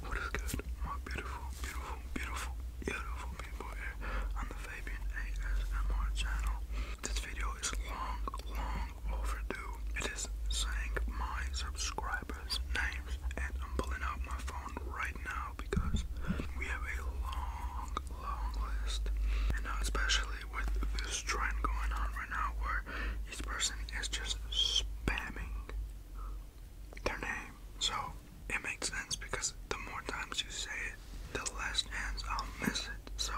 What is good, my beautiful, beautiful, beautiful, beautiful people here on the Fabian ASMR channel? This video is long, long overdue. It is saying my subscribers' names, and I'm pulling out my phone right now because we have a long, long list. And now, especially with this trend going on right now where each person is just spamming their name. So it makes sense because the more times you say it, the less chance I'll miss it. So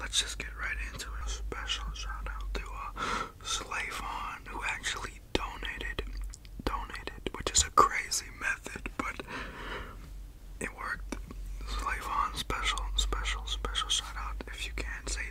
let's just get right into it. A special shout out to uh, Slavon who actually donated, donated, which is a crazy method, but it worked. Slavon, special, special, special shout out. If you can't say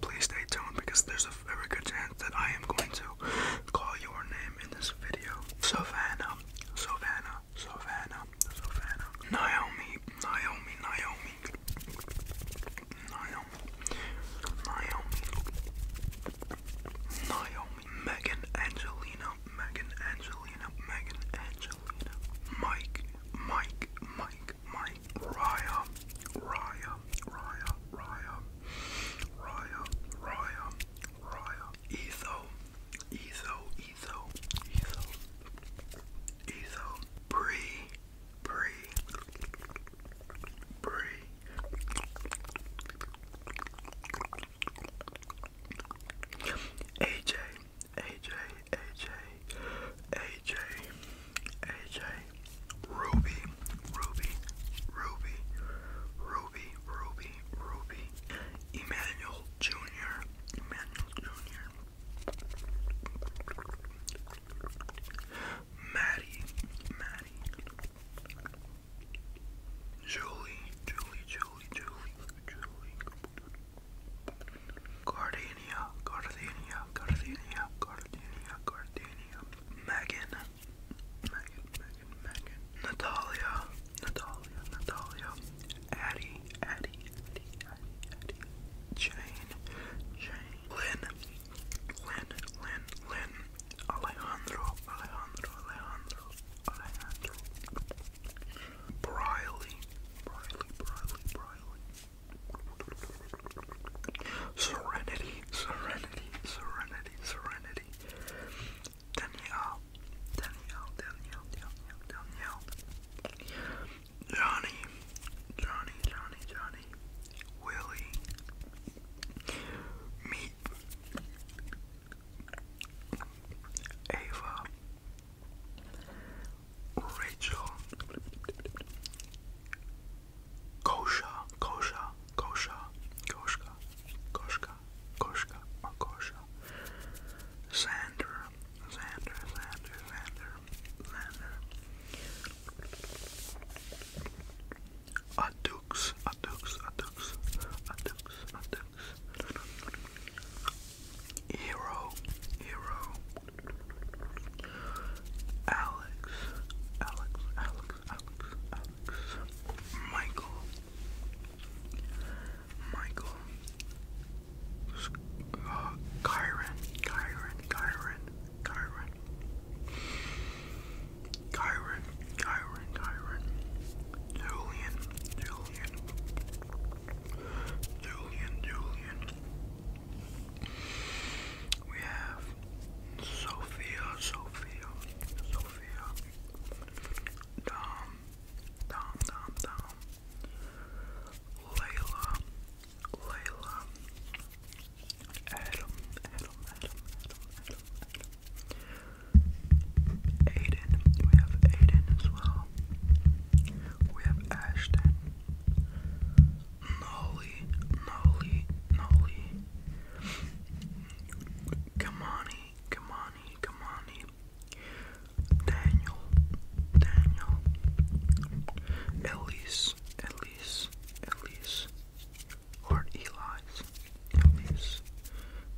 please stay tuned because there's a very good chance that I am going to call your name in this video. Savannah, Savannah, Savannah, Savannah, Naomi, Naomi, Naomi, Naomi, Naomi, Naomi, Megan Angelina, Megan Angelina, Megan Angelina, Mike, Mike, Mike, Mike. Raya, Raya, Raya, Raya, Raya, Raya, Raya, Etho, Etho, Etho, Etho, Etho, Bree, Bree, Bree, AJ, AJ, AJ, AJ. AJ, Ruby, Ruby, Ruby, Ruby, Ruby, Ruby, Emmanuel Jr., Emmanuel Jr., Maddie, Maddie, Julie, Julie, Julie, Julie, Julie, Gardenia, Gardenia, Gardenia, Gardenia, Gardenia. Megan, Megan, Megan, Megan. Natalia, Natalia, Natalia. Addie, Addie, Addie, Addie, Addie. Jane, Jane. Lynn, Lynn, Lynn, Lynn. Alejandro, Alejandro, Alejandro, Alejandro. Briley, Briley, Briley, Briley. Serenity, serenity, serenity, serenity. Danielle, Danielle, Danielle, Danielle, Danielle. Johnny, Johnny, Johnny, Johnny. Willie. Meep. Ava. Rachel, Kosha, Kosha, Kosha, Koshka, Koshka, Koshka, or Kosha, Xander, Xander, Xander, Xander, Adux, Adux, Adux, Adux, Adux, Hero, Hero, Alex, Alex, Alex, Alex, Alex, Michael, Michael, uh, Kyron, Kyron, Kyron, Kyron, Kyron, Kyron, Kyron, Julian, Julian, Julian, Julian. We have Sophia, Sophia, Sophia, Dom, Dom, Dom, Dom, Layla, Layla, Adam, Adam, Adam, Adam, Adam, Adam, Aiden, we have Aiden as well, we have Ashton, Nolly, Nolly, Nolly. Kamani, Kamani, Kamani. Daniel, Daniel. Elise, Elise, Elise. Or Eli's, Elise,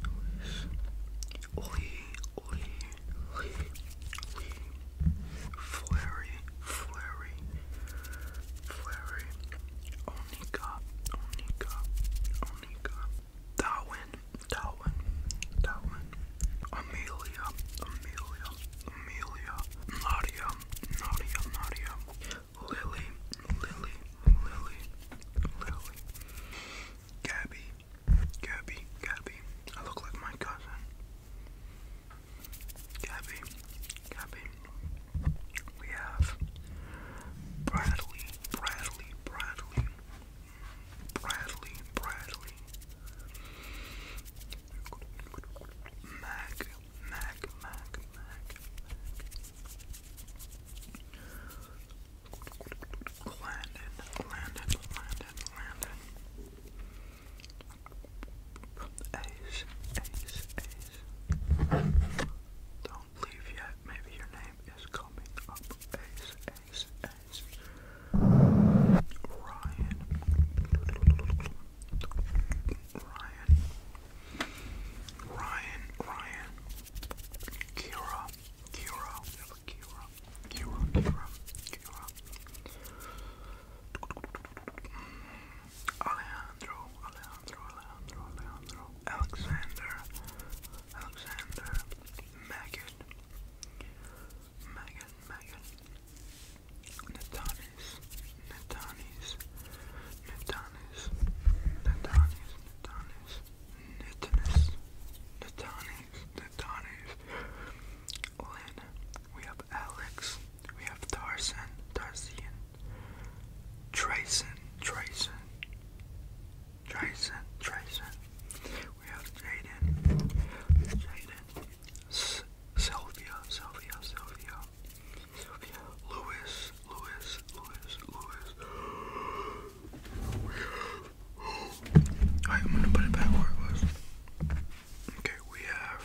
Elise. Lee, Lee, Lee. Flurry, Flurry, Flurry, Onika, Onika, Onika, Darwin, Darwin, Darwin, Amelia, Amelia, Amelia, Nadia, Nadia, Nadia, Lily, Lily, Lily, Lily, Gabby, Gabby, Gabby. I look like my cousin. Gabby, Gabby. We have Bradley, Bradley, Bradley, Bradley, Bradley. Mac, Mac, Mac, Mac. Landon, Landon, Landon, Landon. Ace, Ace, Ace. Don't leave yet. Maybe your name is coming up. Ace, Ace, Ace. Ryan. Ryan. Ryan, Ryan. Kira, Kira, Kira, Kira, Kira, Kira. Alejandro, Alejandro, Alejandro, Alejandro, Alexander, Alexander, Maggot, Maggot, Maggot, Natanis, Natanis, Natanis, Natanis, Natanis, Natanis, Natanis, Natanis, Lynn, we have Alex, we have Tarzan, Tarzian, Trayson, Trayson, Trayson, Trayson, we have Jaden, Jaden, Sylvia, Sylvia, Sylvia, Sylvia, Lewis, Lewis, Lewis, Lewis, we have, alright, I'm gonna put it back where it was. Okay, we have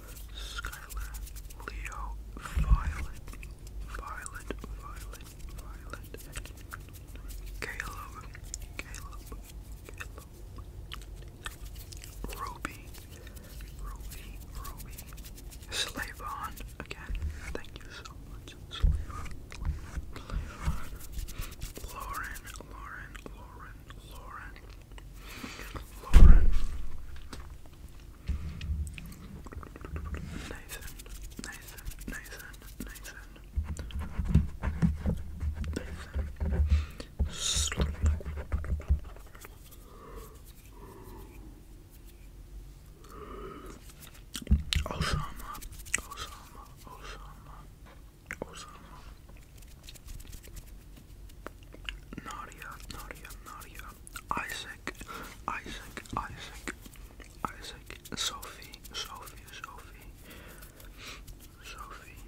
Skylar, Leo, Violet, Violet, Violet, Violet, Caleb, Caleb, Caleb, Ruby, Ruby, Slavon, again, thank you so much, Slavon, Lauren, Lauren, Lauren, Lauren, Lauren, Nathan, Nathan, Nathan, Nathan, Nathan. Slowly. Osama, Osama, Osama, Osama. Nadia, Nadia, Nadia. Isaac, Isaac, Isaac, Isaac, Sophie, Sophie, Sophie, Sophie, Sophie,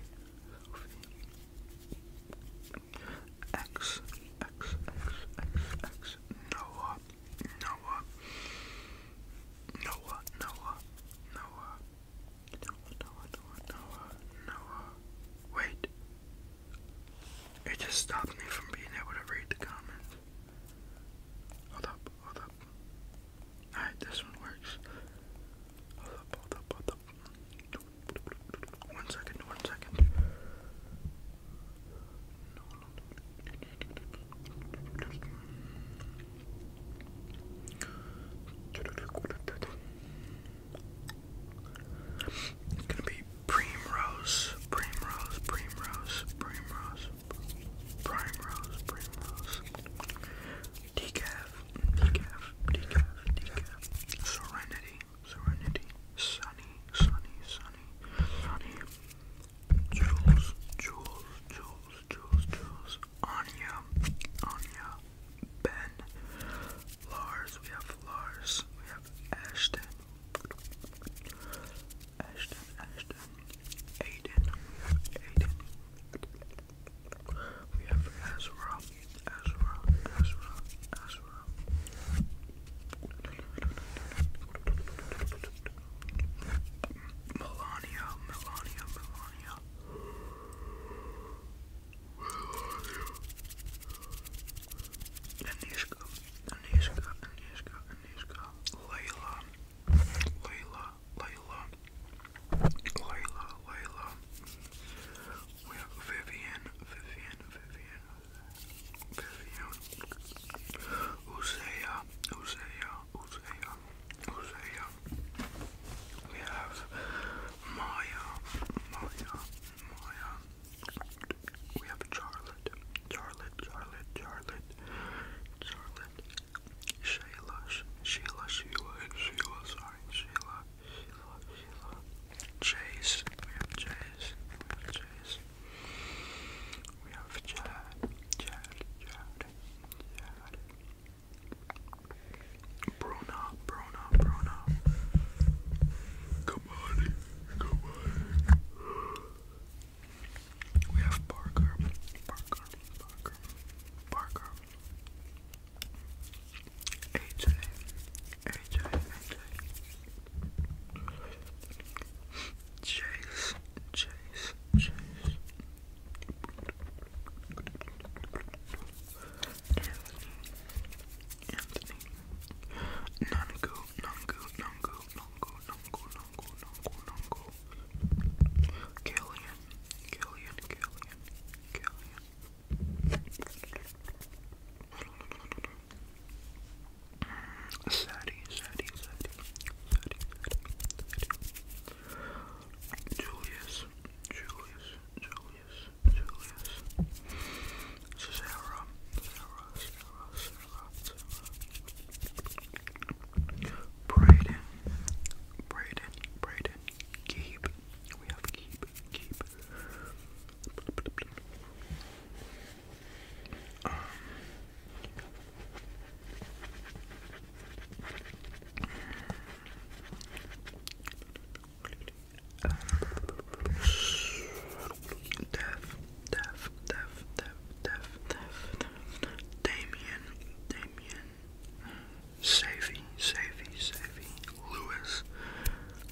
X, X, X, X, X, Noah, Noah, Noah, Noah, Noah, Noah, Noah, Noah, Noah, Noah, wait, it just stopped me from being able to read the comments. Hold up, hold up. Alright, this one works. Hold up, hold up, hold up. One second, one second. It's gonna be Primrose, Primrose, Primrose, Primrose, Primrose, Primrose, Decaf, Decaf, Decaf, Decaf, Serenity, Serenity, Sunny, Sunny, Sunny, Sunny, Jules, Jules, Jules, Jules, Jules, Anya, Anya, Ben, Lars, we have Lars, we have Ashton, Ashton, Ashton, Aiden, we have Ezra, Ezra, Ezra, Ezra. Melania, Melania. Melania. Anishka, Anishka, Anishka, Anishka, Layla, Layla, Layla, Layla, Layla. We have Vivian, Vivian, Vivian, Vivian, Uzaya, Uzaya, Uzaya, Uzaya. We have Maya, Maya, my, um, we have Charlotte, Charlotte, Charlotte, Charlotte, Charlotte, Shayla, Sh Sheila, Sheila, Sheila, sorry, Sheila, Sheila, Sheila, Chase, we have Chase, we have Chase, we have Chad, Chad, Chad, Chad, Bruna, Bruna, Brona, Brona. Come on, come on. We have Parker, Parker, Parker, Parker. AJ, AJ, AJ. Chase, Chase, Chase. Anthony, Anthony, Nango, Nango, Nango, Nango, Nango, Nango, Nango, Nango, Killian, Killian, Killian, Killian. Sadie, Sadie, Sadie, Sadie, Julius, Julius, Julius, Julius, Sarah, Braden, Braden, Braden, Keep, we have Keep, Keep, um, Dev, Dev, Dev, Dev, Dev, Dev, Damien, Damien, Savy, Savy, Savy, Lewis,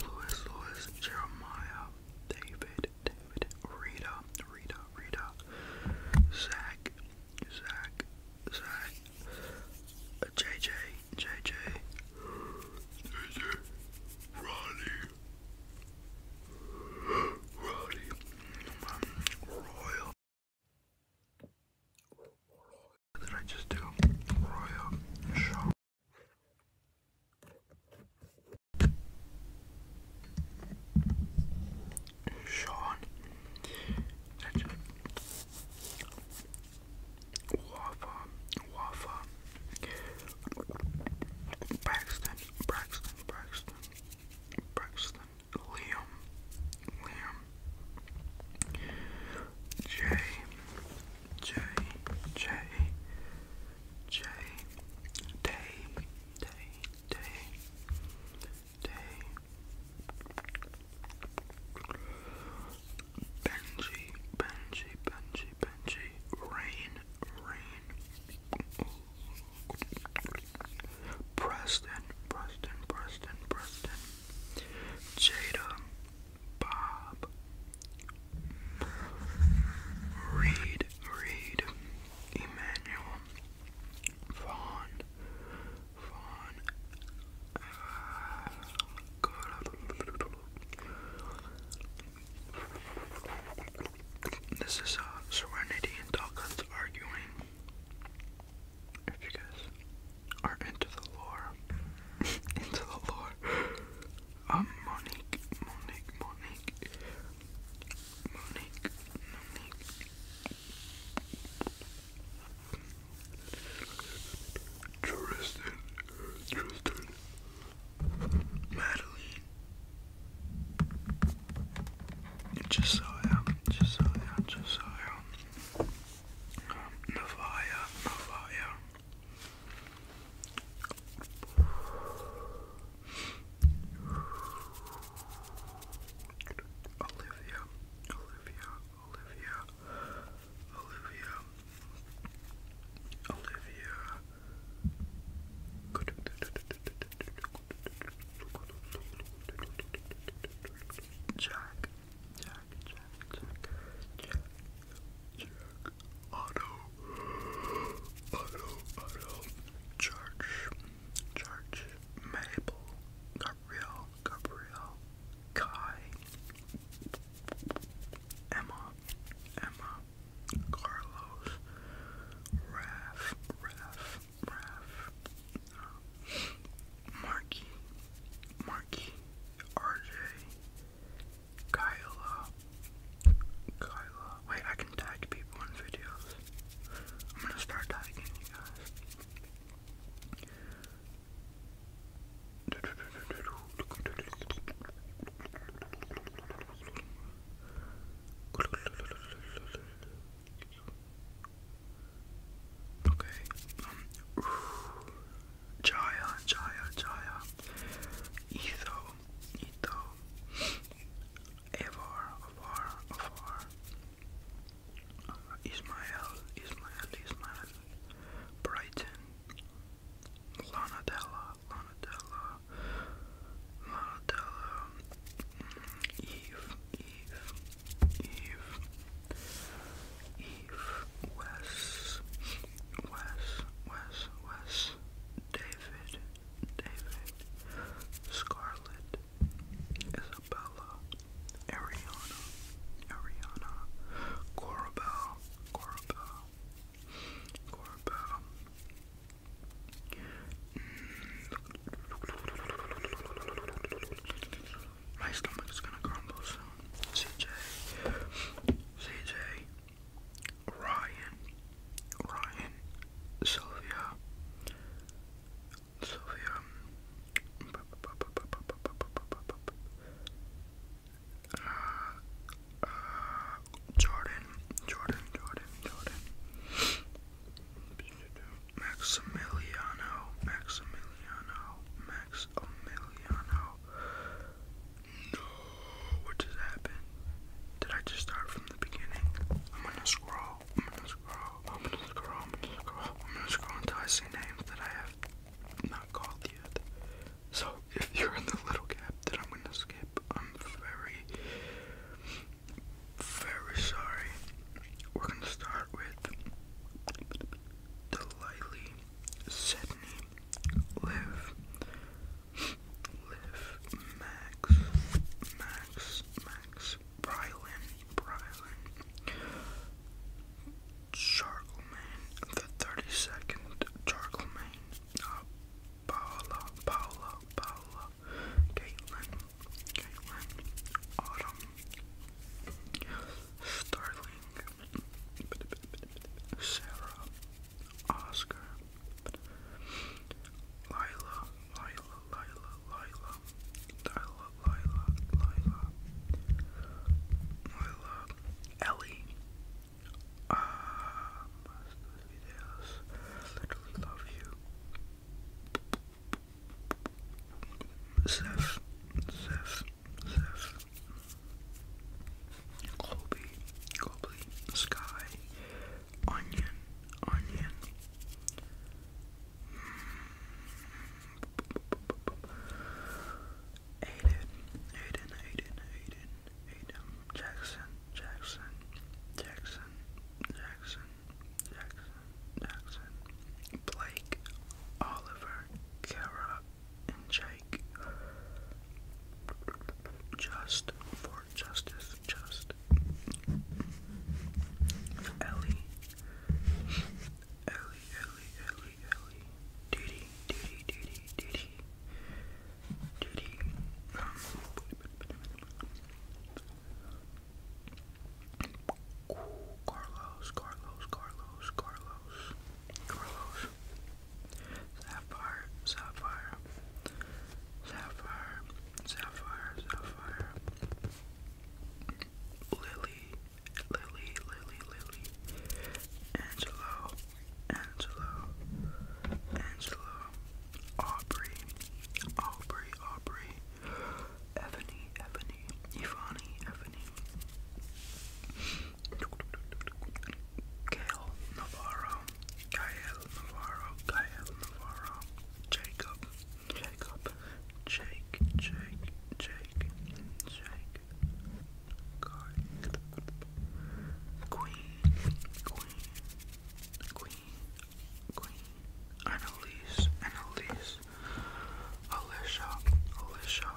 Lewis, Lewis, Jeremiah, David, David, Rita, Rita, Rita, Zach, Zach, Zach, JJ, uh, JJ, JJ, Ronnie, Ronnie, Royal. What did I just do? Royal Sean. Wafa, Wafa, Braxton, Braxton, Braxton, Braxton, Liam, Liam, Jay, Jay, Jay, Jay, Day, Day, Day, Day, Benji, Benji, Benji, Benji. Rain, rain. Preston, Preston, Preston, Preston. Jada, Bob. Reed, Reed. Emmanuel. Vaughn, Vaughn. Uh, this is uh, Serenity and Dawkins arguing. If you guys are into the lore, into the lore, um, Monique, Monique, Monique, Monique, Monique. Tristan, Tristan, Madeline. Just so am, just so Olivia, Olivia, Olivia, Olivia, Olivia. Good. Jack, Jack, Jack, Jack, Jack, Otto, Otto, Otto, Church, Church, Mabel, Gabriel, Gabriel, Kai, Emma, Emma, Carlos, Raf, Raf, Raf, uh, Marky, RJ, Kyla, Kyla. Wait, I can tag people in videos. I'm gonna start tagging you guys. Okay. Um, Jaya, Jaya, Jaya. Etho, Etho. Evar, Avar, Avar. Uh, Ismael, Ismael, Brighton, Lana Della, Lana Della, Lana Della, Eve, Eve, Eve, Eve, Wes, Wes, Wes, Wes, David, David, Scarlet, Isabella, Ariana, Ariana, Corabel, Corabella, mm. Corabella. My stomach is gonna crumble soon. CJ, CJ, Ryan, Ryan, Sylvia, Sylvia, uh, uh, Jordan, Jordan, Jordan, Jordan, Maximiliano, Maximiliano, Maximiliano. No, what just happened? Did I just start from the beginning? I'm gonna scroll, I'm gonna scroll, I'm gonna scroll, I'm gonna scroll, I'm gonna scroll until I see names that I have not called yet. So if you're in the little gap that I'm gonna skip, I'm very, very sorry. We're gonna start with Delightly, Sydney, Liv, Liv, Max, Max, Max, Brylan, Brylan, Charlemagne the Thirty Second, Charlemagne, uh, Paula, Paula, Paula, Caitlin, Caitlin, Autumn, Starling, Sarah, Oscar, Lila, Lila, Lila, Lila, Lila, Lila, Lila, Lila, Ellie. Um, love you. Zeph. Zeph. Zeph. Colby. Colby. Sky. Onion. Onion. Aiden, Aiden, Aiden, Aiden, Aiden, Jackson, Jackson, Jackson, Jackson, Jackson, Jackson, Blake, Oliver, Kara, and Jake. Just for justice, just Ellie, Ellie, Ellie, Ellie, Didi, duty, duty, duty, duty. Carlos, Carlos, Carlos, Carlos, Carlos. Sapphire, sapphire, sapphire, sapphire, sapphire. Lily, Lily, Lily, Lily, Angelo, Angelo, Angelo, Aubrey, Aubrey, Aubrey, Ebony, Ebony, Ivani, Ebony, Gail Navarro, Gael Navarro, Gael Navarro, Jacob, Jacob, Jake, Jake, Jake, Jake, God. Queen, Queen, Queen, Queen, Annalise, Annalise, Alicia, Alicia,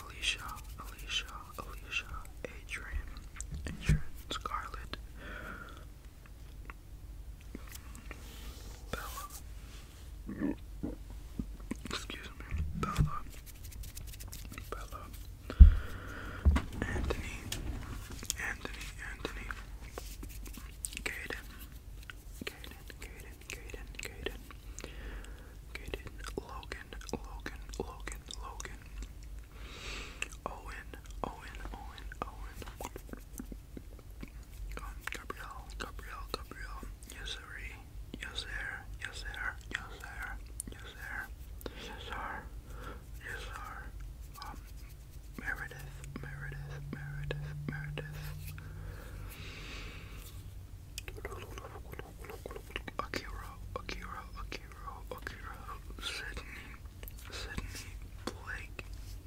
Alicia, Alicia, Alicia, Adrian, Adrian, Scarlet, Bella, Excuse me, Bella, Bella, Anthony, Anthony, Anthony, Caden, Caden, Caden, Caden, Caden, Caden, Logan, Logan, Logan, Logan, Owen, Owen, Owen, Owen. Gabrielle, Gabrielle, Gabrielle, Yesiri, Yes sir, yes sir, yes sir, yes sir, yes sir, yes sir, um, Meredith, Meredith, Meredith, Meredith. Akira, Akira, Akira, Akira, Sydney, Sydney, Blake,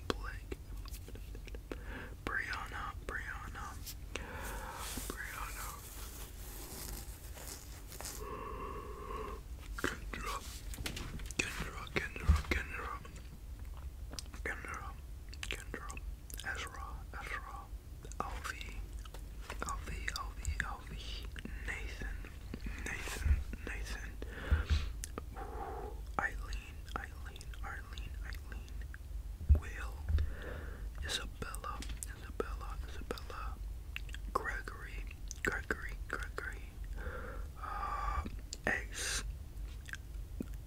Blake, Brianna, Brianna, Brianna. Kendra, Kendra, Kendra, Kendra, Kendra, Kendra, Ezra, Ezra, Alfie, Alfie, Alfie, Alfie, Nathan, Nathan, Nathan, Eileen, Eileen. Arlene, Arlene, Eileen, Will, Isabella, Isabella, Isabella, Gregory, Gregory, Gregory, uh, Ace,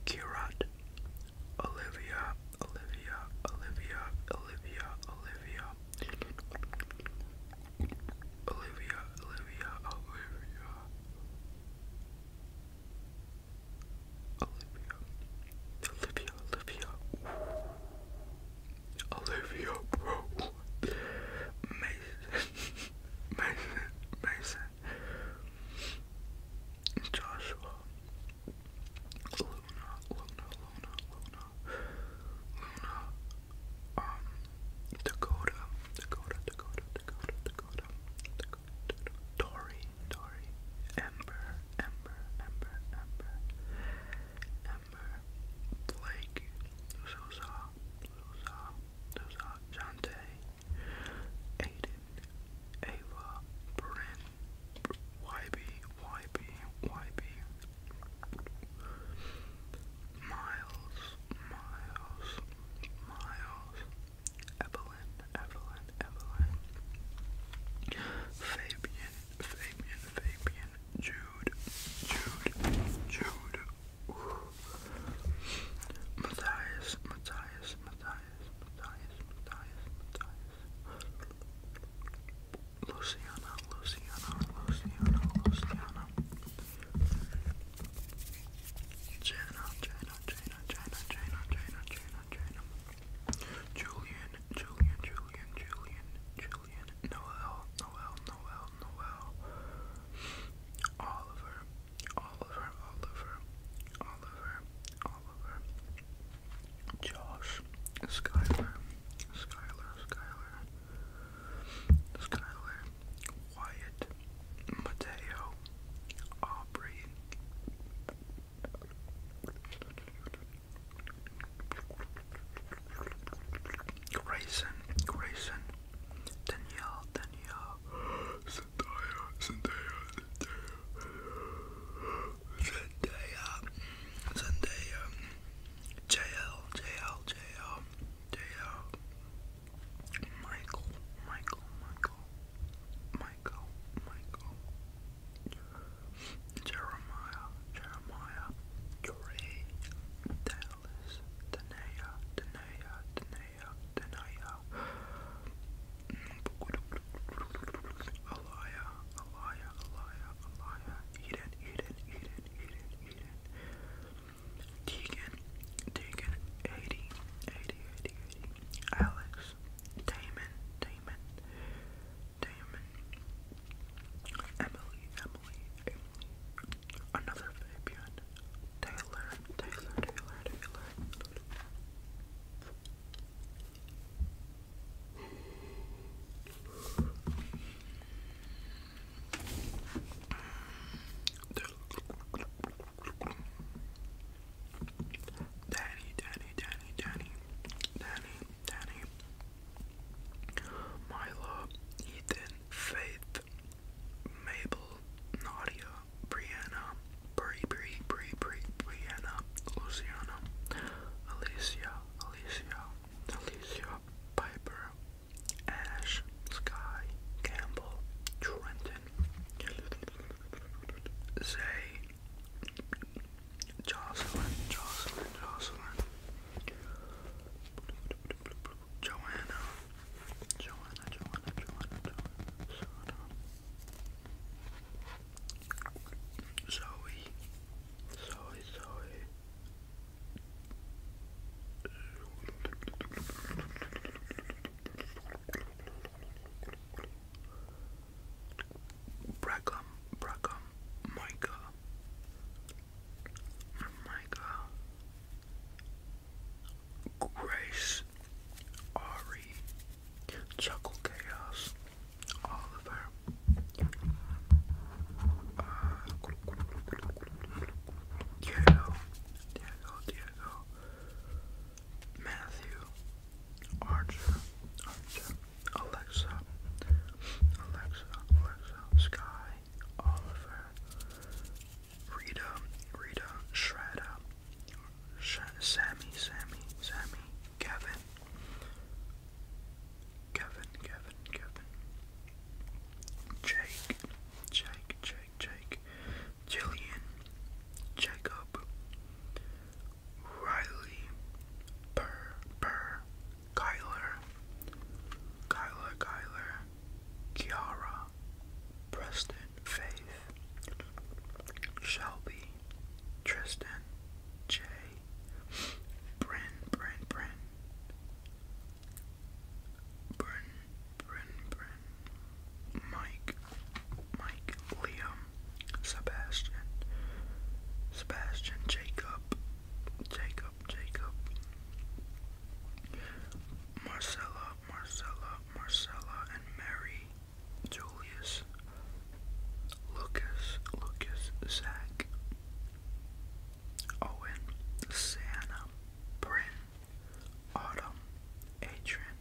Kirat, Olivia, Olivia, Olivia, Olivia, Olivia, Olivia, Olivia, Olivia. Olivia, Olivia, Olivia, Ooh. Olivia, bro, Mason, Mason, Mason, Joshua, Luna, Luna, Luna, Luna, Luna, um, Dakota, Dakota, Dakota, Dakota, Dakota, Dakota, Dory, Dory, Ember, Ember, Ember, Ember, Ember, Blake, Sousa, Sousa, Sousa, Jante, Aiden, Ava, Bryn, YB, YB, YB, Miles, Miles, Miles, Evelyn, Evelyn, Evelyn, Fabian, Fabian, Fabian, Jude, Jude, Jude, Matthias, Matthias, Matthias, Matthias, Matthias, Matthias, Luciana, Luciana, Luciana, Luciana, Jana, Jana, Jana, Jana, Jana, Jana, Jana, not China. Julian, Julian, Julian, Julian, Julian, Noel, Noel, Noel, Noel, Oliver, Oliver, Oliver, Oliver, Oliver, Josh, Skylar, Skylar, Skylar, Skylar, Wyatt, Mateo, Aubrey, Grayson, Grayson, Danielle, Danielle, Zendaya, Zendaya, Zendaya, Zendaya, Zendaya, Michael, Michael, Michael, Michael, Michael, Jeremiah, Jeremiah, Joree, Dallas, Tanea, Tanea, Tanea, Tanea, Alaya, Alaya, Alaya, Alaya, Eden, Eden, Eden, Eden, Eden, Tegan, Tegan, 80, 80, 80, Alex, Damon, Damon, Damon, Emily, Emily, another Fabian, Taylor, Taylor, Taylor, Taylor. Daddy, Daddy, Daddy, Daddy, Daddy. Danny, Milo, Ethan, Faith, Mabel, Nadia, Brianna, Bri, Bri, Bri, Bri, Brianna, Luciana, Alicia, Alicia, Alicia, Piper, Ash, Sky, Campbell, Trenton, Zay, Jocelyn, Jocelyn, Jocelyn. Joanna. Joanna, Joanna, Joanna, Joanna. Zoe. Zoe, Zoe. Brackham, Brackham, Micah, Micah, Grace, Ari, Chuckle Chaos, Oliver, uh, Diego, Diego, Diego, Matthew, Archer, Archer, Alexa, Alexa, Alexa, Sky, Oliver, Rita, Rita, Shredda, Sammy, Sammy, Sammy, Kevin, Kevin, Kevin, Kevin, Jake, Jake, Jake, Jake, Jillian, Jacob, Riley, Burr, Burr, Kyler, Kyler, Kyler, Kiara, Preston, Faith, Shelby, Tristan, Jay, Bryn, Bryn, Bryn, Bryn, Bryn, Bryn, Mike, Mike, Liam, Sebastian, Sebastian, Jacob, Jacob, Jacob, Marcella, Marcella, Marcella, and Mary, Julius, Lucas, Lucas, Zach, Owen, Santa, Bryn, Autumn, Adrian,